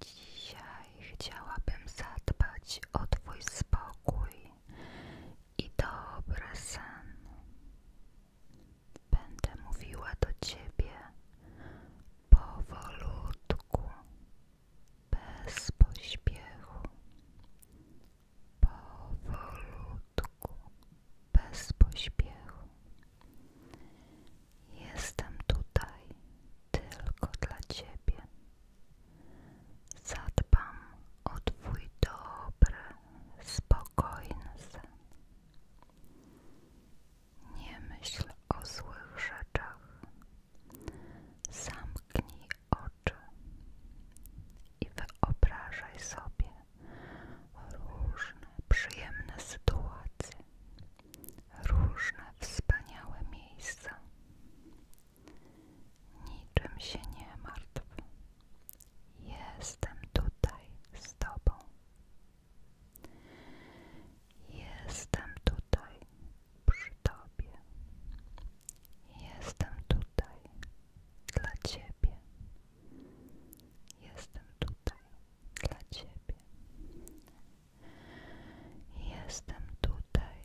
Dzisiaj chciałabym zadbać o Twój spokój i dobre sen. Będę mówiła do Ciebie powolutku, bez pośpiechu. Powolutku, bez pośpiechu. Jestem tutaj tylko dla Ciebie. Zadbam o Twój dobry, spokojny sen. Nie myśl o złych rzeczach. Zamknij oczy i wyobrażaj sobie, różne przyjemne sytuacje, różne wspaniałe miejsca. Niczym się nie martw. Jestem tutaj z Tobą. Jestem tutaj przy Tobie. Jestem tutaj dla Ciebie. Jestem tutaj dla Ciebie. Jestem tutaj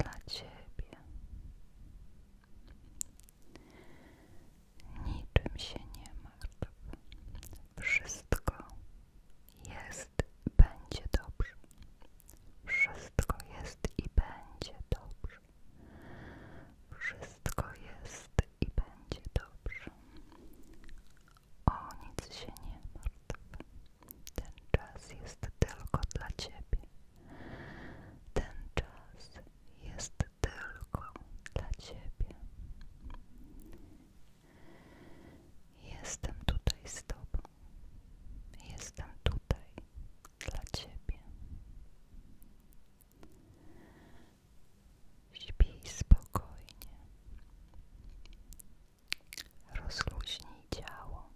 dla Ciebie. Niczym się nie martw. Wszystko jest, będzie dobrze. Wszystko jest i będzie dobrze. Wszystko wszystko jest i będzie dobrze. O nic się nie martw. Ten czas jest tylko dla ciebie. Ten czas jest tylko dla ciebie. Jestem tutaj z tobą. Jestem tutaj dla ciebie. Śpij spokojnie. Rozluźnij ciało.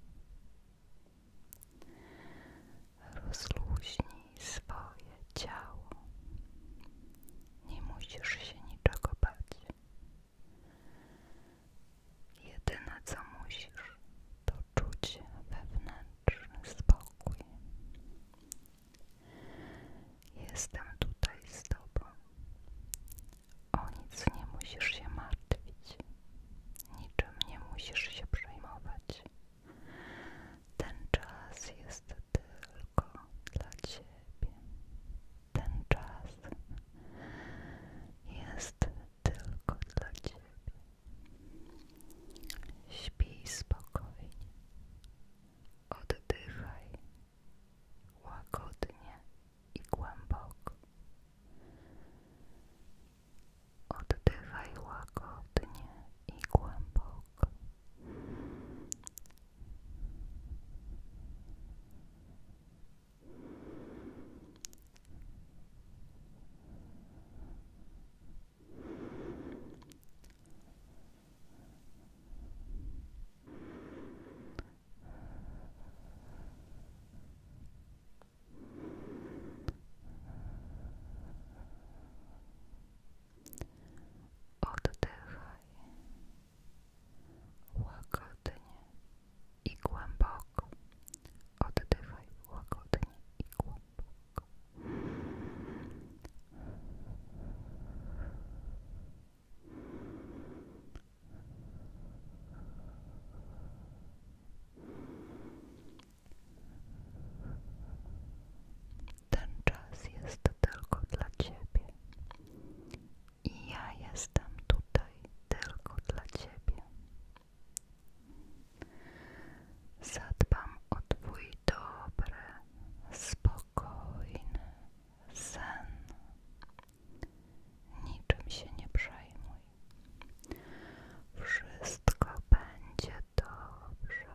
Rozluźnij swoje ciało. Nie musisz się niczego bać. Jedyne co musisz, to czuć wewnętrzny spokój. Jestem tutaj z Tobą. O nic nie musisz się martwić, niczym nie musisz się przejmować. Ten czas jest tylko dla Ciebie. Ten czas jest tylko dla Ciebie. Śpij spokojnie. Oddychaj łagodnie i głęboko. Oddychaj łagodnie i głęboko. Oddychaj łagodnie i głęboko. Oddychaj łagodnie i głęboko. Ten czas jest tylko dla Ciebie i ja jestem tutaj tylko dla Ciebie. Zadbam o Twój dobry, spokojny spokojny sen. Niczym się nie przejmuj. Wszystko będzie dobrze.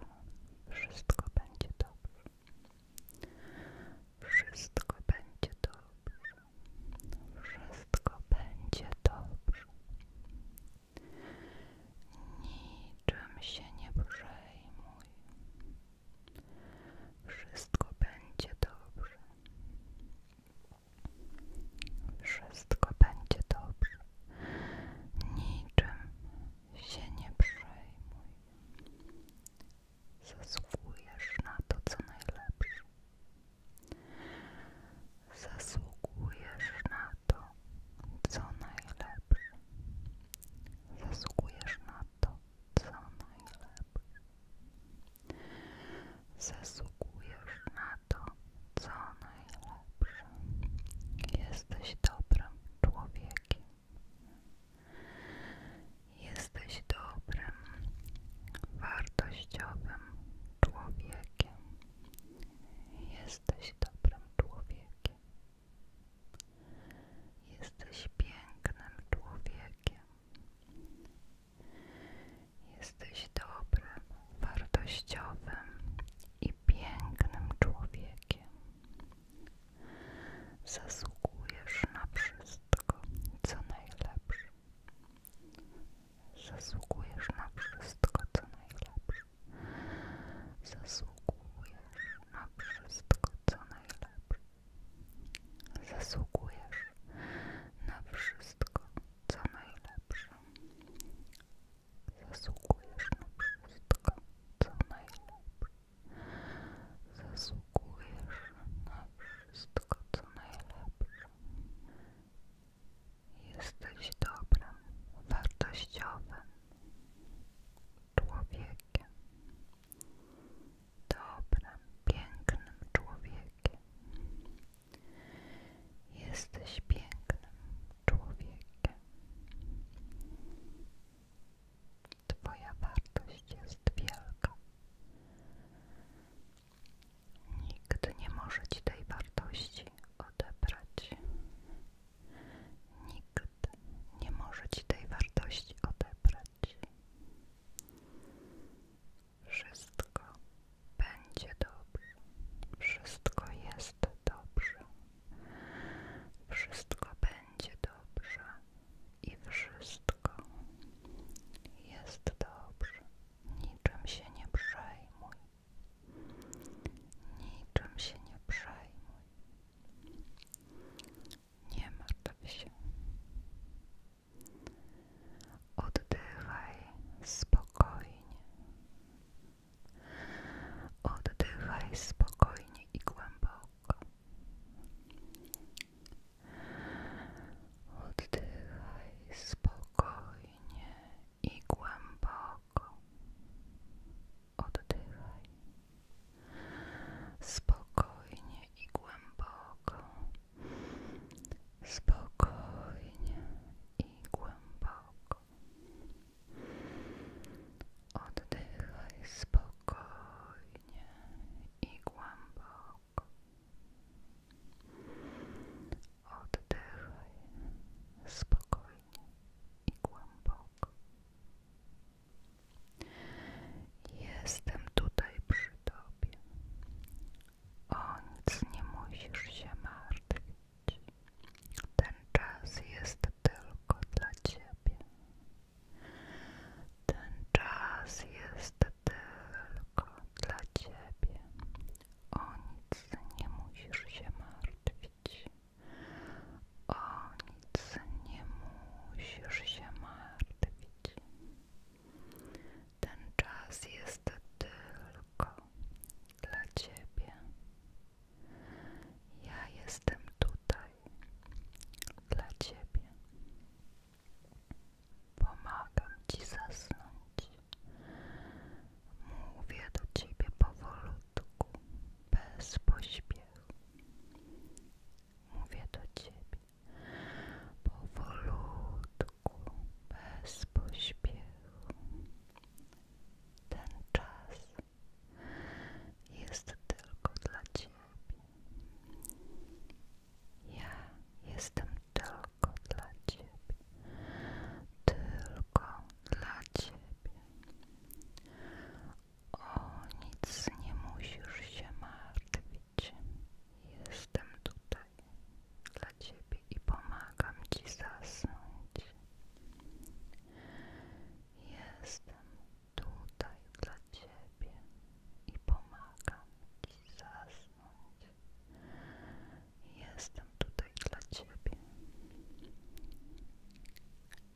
Wszystko będzie dobrze. Wszystko będzie dobrze. Wszystko będzie dobrze. Niczym się nie przejmuj. Wszystko będzie dobrze. Wszystko będzie dobrze. Niczym się nie przejmuj. Zasługujesz na to, co najlepsze. Zasługujesz na to, co najlepsze. Zasługujesz na to, co najlepsze. Zasługujesz na to, co najlepsze. Jesteś dobrym człowiekiem. Jesteś dobrym, wartościowym człowiekiem. Jesteś dobrym człowiekiem. Jesteś pięknym człowiekiem. Jesteś dobrym, wartościowym i pięknym człowiekiem. Zasługujesz na wszystko, co najlepsze. Zasługujesz na wszystko, co najlepsze. Zasługujesz na wszystko, co najlepsze. Zasługujesz na wszystko, co najlepsze. Zasługujesz na wszystko, co najlepsze. Zasługujesz na wszystko, co najlepsze. Jesteś dobrym, wartościowym człowiekiem dobrym, pięknym człowiekiem. Jesteś pięknym człowiekiem. Twoja wartość jest wielka. Nikt nie może ci tej wartości odebrać. Nikt nie może Ci tej wartości odebrać. Wszystko będzie dobrze, wszystko jest dobrze, wszystko będzie dobrze i wszystko jest dobrze. Niczym się nie przejmuj, niczym się nie przejmuj. Nie martw się. Oddychaj spokojnie. Oddychaj spokojnie i głęboko. Oddychaj spokojnie i głęboko. Oddychaj spokojnie i głęboko. Spokojnie i głęboko. Oddychaj spokojnie i głęboko. Oddychaj spokojnie i głęboko. Jestem tutaj przy Tobie. O nic nie musisz się martwić. Ten czas jest tylko dla Ciebie. Ten czas jest tylko dla Ciebie. O nic nie musisz się martwić nie musisz się martwić. Ten czas jest tylko dla ciebie. Ja jestem tutaj dla ciebie. Pomagam ci zasnąć. Mówię do ciebie powolutku, bez pośpiechu mówię do ciebie powolutku, bez pośpiechu. Ten czas jest tylko dla ciebie. Ja jestem tylko dla ciebie. Tylko dla ciebie. O nic nie musisz się martwić. Jestem tutaj dla ciebie i pomagam ci zasnąć. Jestem tutaj dla ciebie i pomagam ci zasnąć. Jestem tutaj dla ciebie.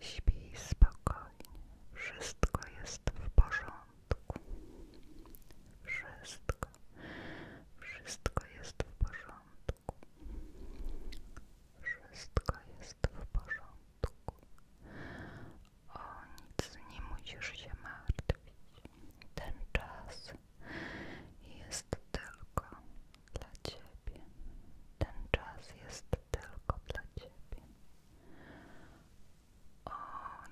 Śpij spokojnie, wszystko jest w porządku. Wszystko, wszystko jest w porządku. Wszystko jest w porządku. O nic nie musisz się martwić. Ten czas jest tylko dla ciebie. Ten czas jest tylko dla ciebie. O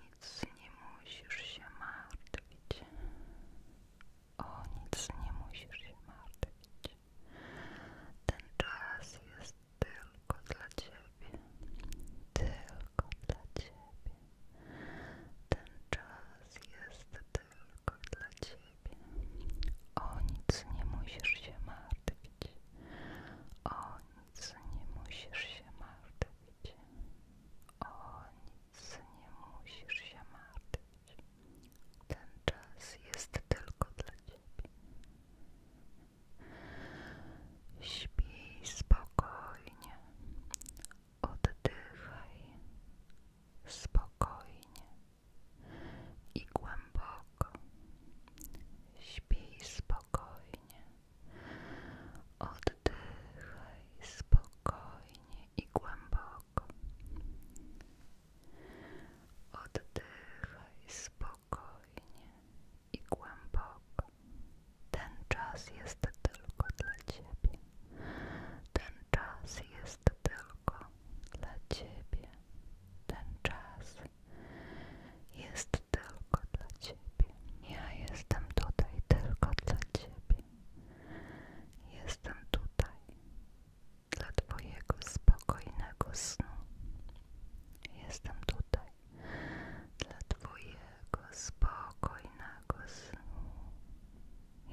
nic nie musisz się martwić. O nic nie musisz się martwić. Ten czas jest tylko dla ciebie. Tylko dla ciebie. Ten czas jest tylko dla ciebie. O nic nie musisz się martwić. O nic nie musisz się martwić. O nic nie musisz się martwić. Ten czas jest tylko dla ciebie. Śpij spokojnie. Oddychaj spokojnie i głęboko. Śpij spokojnie. Oddychaj spokojnie i głęboko. Oddychaj spokojnie i głęboko. Ten czas jest tylko dla Ciebie. Ten czas jest tylko dla Ciebie. Ten czas jest tylko dla Ciebie. Ja jestem tutaj tylko dla Ciebie. Jestem tutaj dla Twojego spokojnego snu. Jestem tutaj dla Twojego spokojnego snu.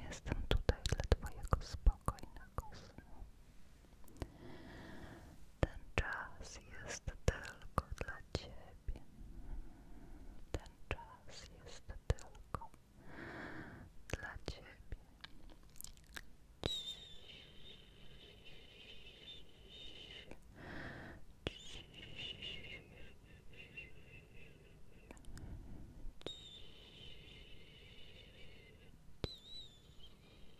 Jestem tutaj dla Twojego spokojnego snu. Ten czas jest tylko dla Ciebie. Ten czas jest tylko dla Ciebie.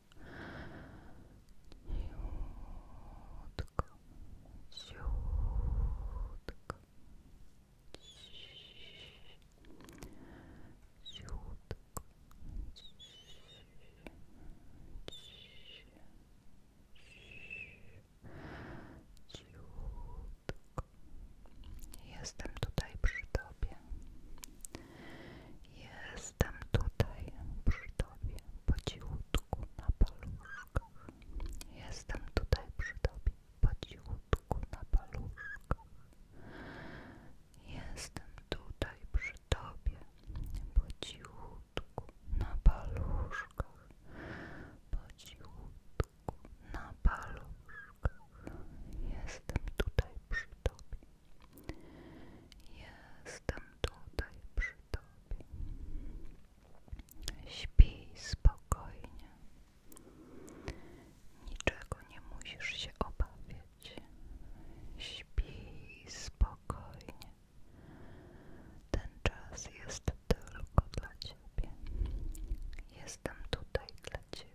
Ciutko, ciutko, ciutko, ciutko. Jestem tutaj przy tobie. Jestem tutaj przy Tobie, po na paluszkach. Jestem tutaj przy Tobie, po na paluszkach. Jestem tutaj przy Tobie, po cichutku na paluszkach. Po na paluszkach. Jestem tutaj przy Tobie, Jestem tutaj przy Tobie. Śpij spokojnie. Niczego nie musisz się obawiać. Śpij spokojnie. Ten czas jest tylko dla Ciebie. Jestem tutaj dla Ciebie.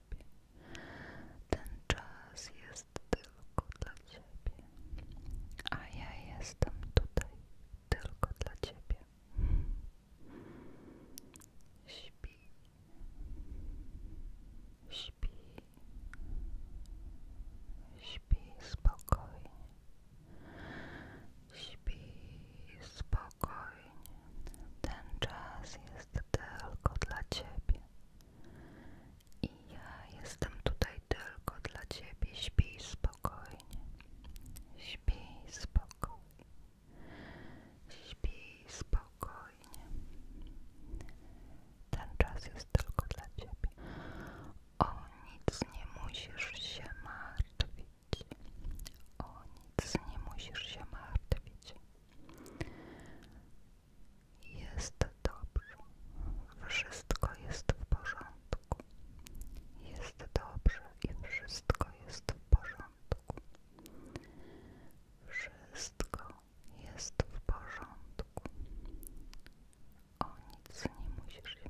Ten czas jest tylko dla ciebie. A ja jestem tutaj tylko dla ciebie. Śpi. Śpi. Śpi spokojnie. Śpi spokojnie. Ten czas jest tylko dla ciebie. I ja jestem tutaj tylko dla ciebie. Śpij spokojnie. Śpij spokojnie. Śpij spokojnie. Ten czas jest tylko dla ciebie. O nic nie musisz się martwić. O nic nie musisz się martwić. Jest dobrze. Wszystko jest w porządku. Jest dobrze i wszystko jest w porządku. Wszystko jest w porządku. O nic nie musisz się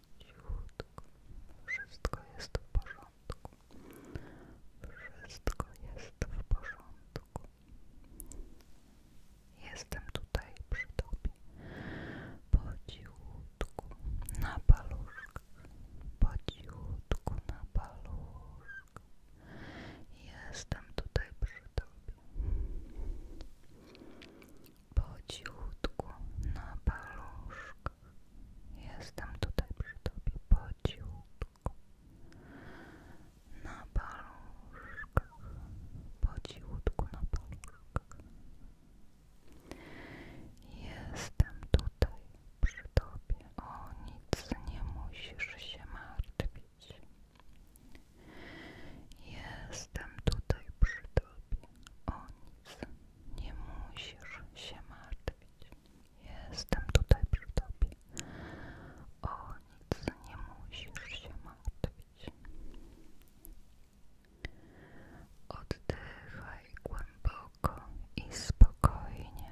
cichutko. Wszystko jest w porządku. Wszystko jest w porządku. Jestem tutaj przy tobie. Po na paluszkach. Po cichutku na paluszkach. Jestem tutaj przy tobie po na paluszkach. Jestem tutaj przy tobie po na paluszkach, po na paluszkach. Jestem tutaj przy tobie. O nic nie musisz się martwić. Jestem tutaj przy tobie. O nic nie musisz się martwić. Jestem tutaj przy tobie. O nic nie musisz się martwić. Oddychaj głęboko i spokojnie.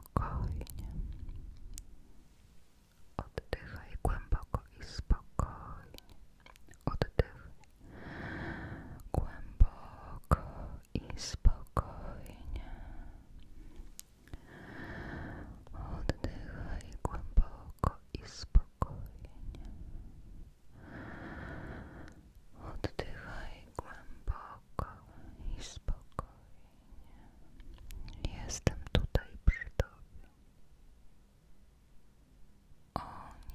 spokojnie. Oddychaj głęboko i spokojnie. Oddychaj głęboko i spokojnie. Oddychaj głęboko i spokojnie. Oddychaj głęboko spokojnie, spokojnie. Jestem tutaj przy tobie. O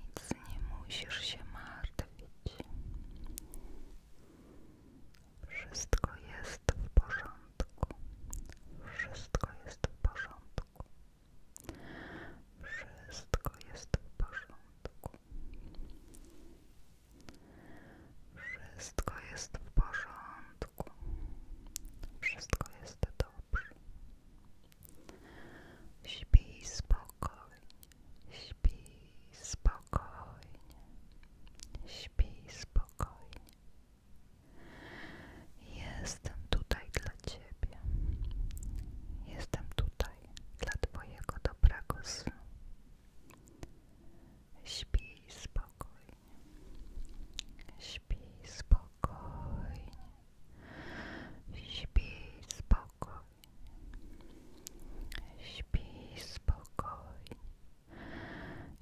nic nie musisz się martwić. Wszystko jest w porządku. Wszystko jest w porządku. Wszystko jest w porządku. Wszystko jest w porządku. Wszystko jest dobrze. Śpij spokojnie. Śpij spokojnie. Śpij spokojnie. Jestem tutaj dla Ciebie. Jestem tutaj dla Twojego dobrego snu. Śpi spokojnie. Śpi spokojnie. Śpi spokojnie. Śpi spokojnie.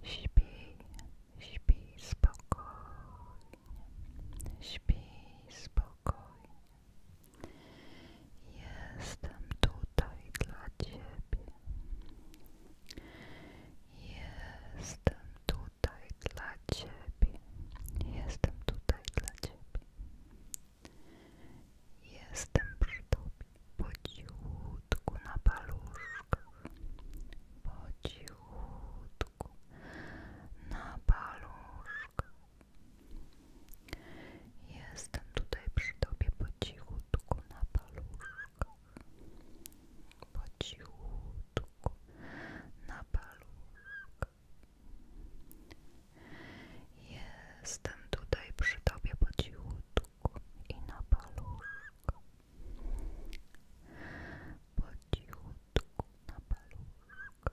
Śpi, śpi spokojnie. Śpi spokojnie. Jestem tutaj dla ciebie. Jestem tutaj dla Ciebie. Jestem tutaj dla Ciebie. Jestem przy Tobie. Po cichutku na paluszkach. Po na paluszkach. Jestem tutaj przy Tobie po cichutku na paluszkach paluszkach, na paluszkach. Jestem tutaj przy tobie po i na paluszku. Po na paluszku.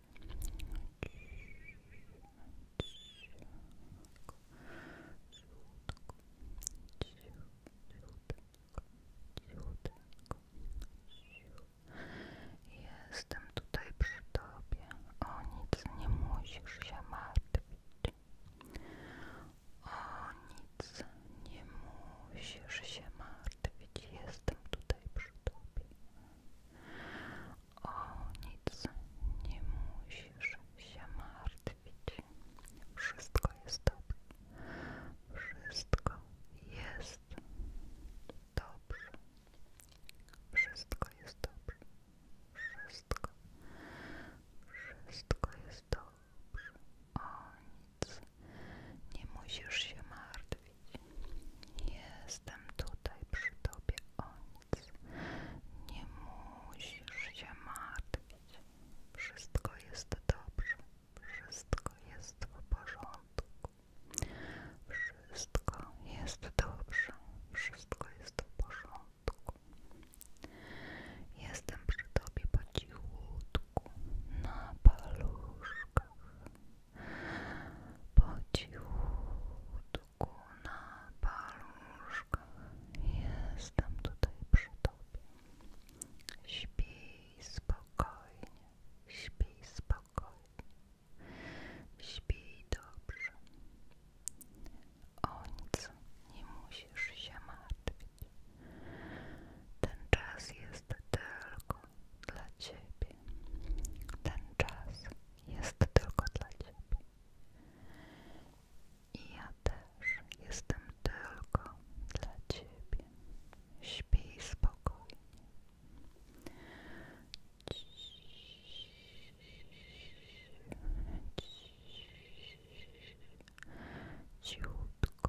Jestem tutaj przy tobie. O nic nie musisz się martwić. O nic nie musisz się martwić. Jestem tutaj przy tobie. O nic nie musisz się martwić. Wszystko jest dobrze. Wszystko jest dobrze. Wszystko jest dobrze. Wszystko. Wszystko jest dobrze. O nic. Nie musisz się martwić. Jestem tutaj przy tobie, o nic. Nie musisz się martwić. Wszystko jest dobrze. Wszystko jest w porządku. Wszystko jest dobrze. Wszystko jest w porządku. Jestem przy tobie po cichutku, na paluszkach po cichutku na paluszkach jestem tutaj przy Tobie śpij spokojnie śpij spokojnie śpij dobrze o nic nie musisz się martwić ten czas jest tylko dla Ciebie. Ten czas jest tylko dla Ciebie. I ja też jestem tylko dla Ciebie. Śpij spokojnie. Cichutko.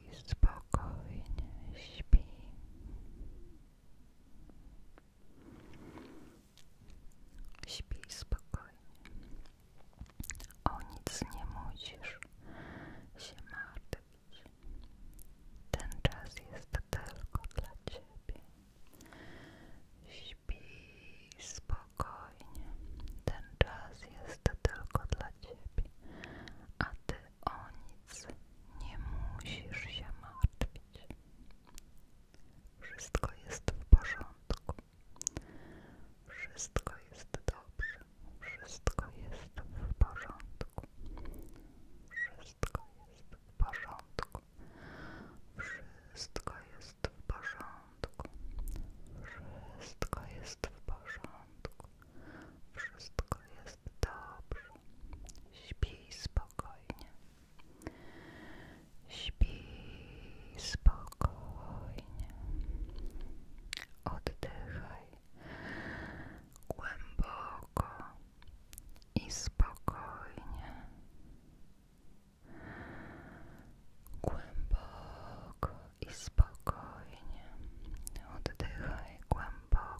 spokojnie śpi. Śpi spokojnie. O nic nie musisz się martwić. Ten czas jest tylko dla ciebie. Śpi spokojnie. Ten czas jest tylko dla ciebie. A ty o nic nie musisz się martwić. Wszystko jest w porządku. Wszystko jest dobrze. Wszystko jest w porządku. Wszystko jest w porządku. Wszystko jest w porządku. Wszystko jest w porządku. Wszystko jest dobrze. Śpij spokojnie. Śpij spokojnie. Oddychaj głęboko i spokojnie. Głęboko i spokojnie. Oddychaj głęboko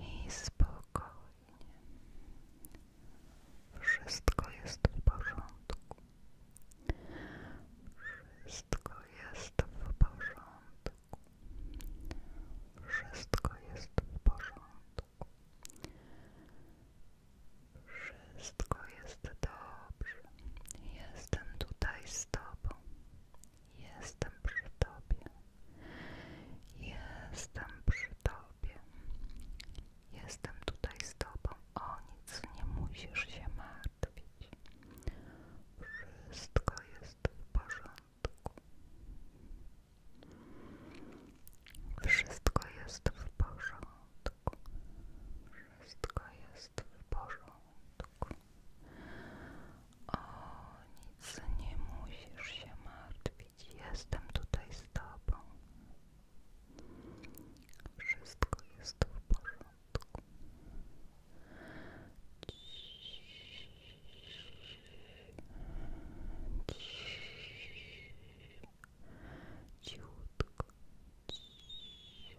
i spokojnie. Wszystko jest w porządku. Wszystko jest w porządku. Wszystko jest w porządku. Wszystko jest dobrze. Jestem tutaj z Tobą. Jestem przy Tobie. Jestem przy Tobie. Jestem tutaj z Tobą. O nic nie musisz się martwić. Wszystko jest w porządku. Wszystko jest w porządku. Wszystko jest Stój you O nic nie musisz się martwić. Jestem tutaj z tobą. Wszystko jest w porządku. Ciii. Ciii. Ciutko. Ciii.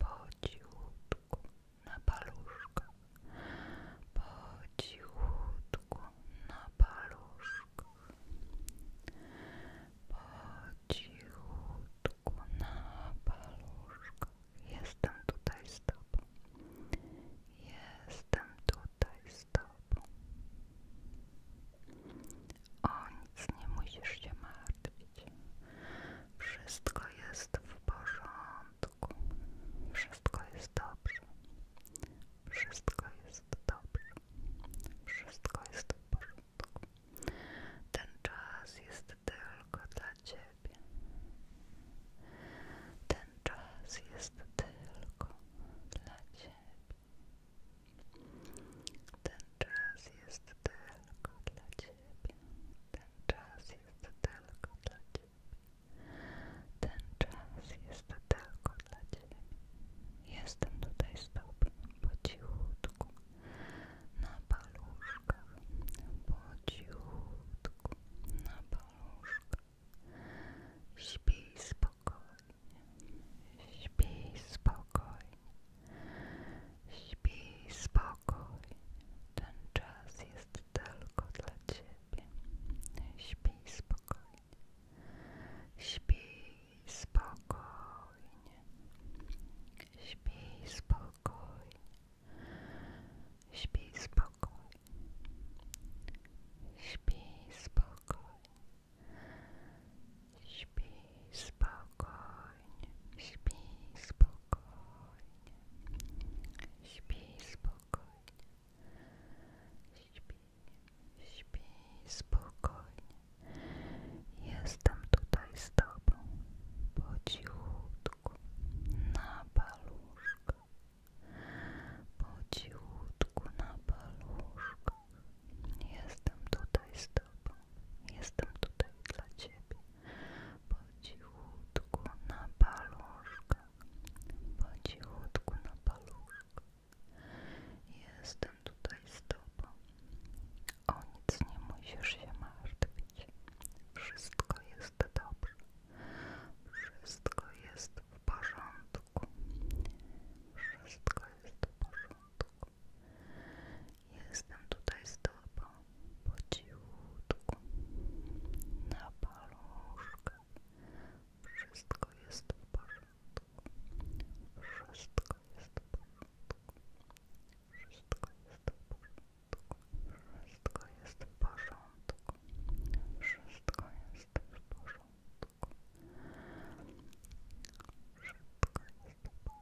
po cichutku na paluszka, po cichutku na paluszka, po na paluszka. Jestem tutaj z tobą. Jestem tutaj z tobą. O nic nie musisz się martwić. Wszystko jest w porządku. Wszystko jest dobrze. Wszystko jest dobrze. Wszystko jest w porządku. Ten czas jest tylko dla ciebie. Ten czas jest tylko dla ciebie. Ten czas jest tylko dla ciebie ciebie. Ten czas jest tylko dla ciebie. Ten czas jest tylko dla ciebie. Jestem tutaj z tobą po cichutku, na paluszkach, po cichutku, na paluszkach. Śpij spokojnie, śpij spokojnie. Śpij spokojnie, ten czas jest tylko dla ciebie. Śpij spokojnie, śpij spokojnie, śpij spokojnie, śpij spokojnie, śpij spokojnie. Śpij spokojnie spokojnie, spokojnie, śpi spokojnie, śpi, śpi spokojnie. Jestem tutaj z Tobą, po cichutku, na paluszkach, po cichutku, na paluszkach. Jestem tutaj z Tobą, jestem tutaj dla Ciebie po cichutku na paluszkę, po cichutku na paluszkę. Jestem tutaj z tobą. O nic nie musisz się martwić. Wszystko jest dobrze. Wszystko jest w porządku. Wszystko jest w porządku. Jestem tutaj z tobą po cichutku, na paluszkę. Wszystko jest w porządku. Wszystko jest w porządku. Wszystko jest w porządku. Wszystko jest w porządku. Wszystko jest w porządku. Wszystko jest w porządku.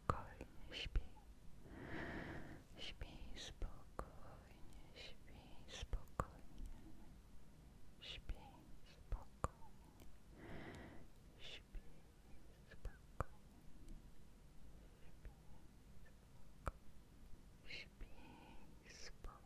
spokojnie śpi. Śpi spokojnie, śpi spokojnie. Śpi spokojnie. Śpi spokojnie. Śpi spokojnie. Śpi spokojnie.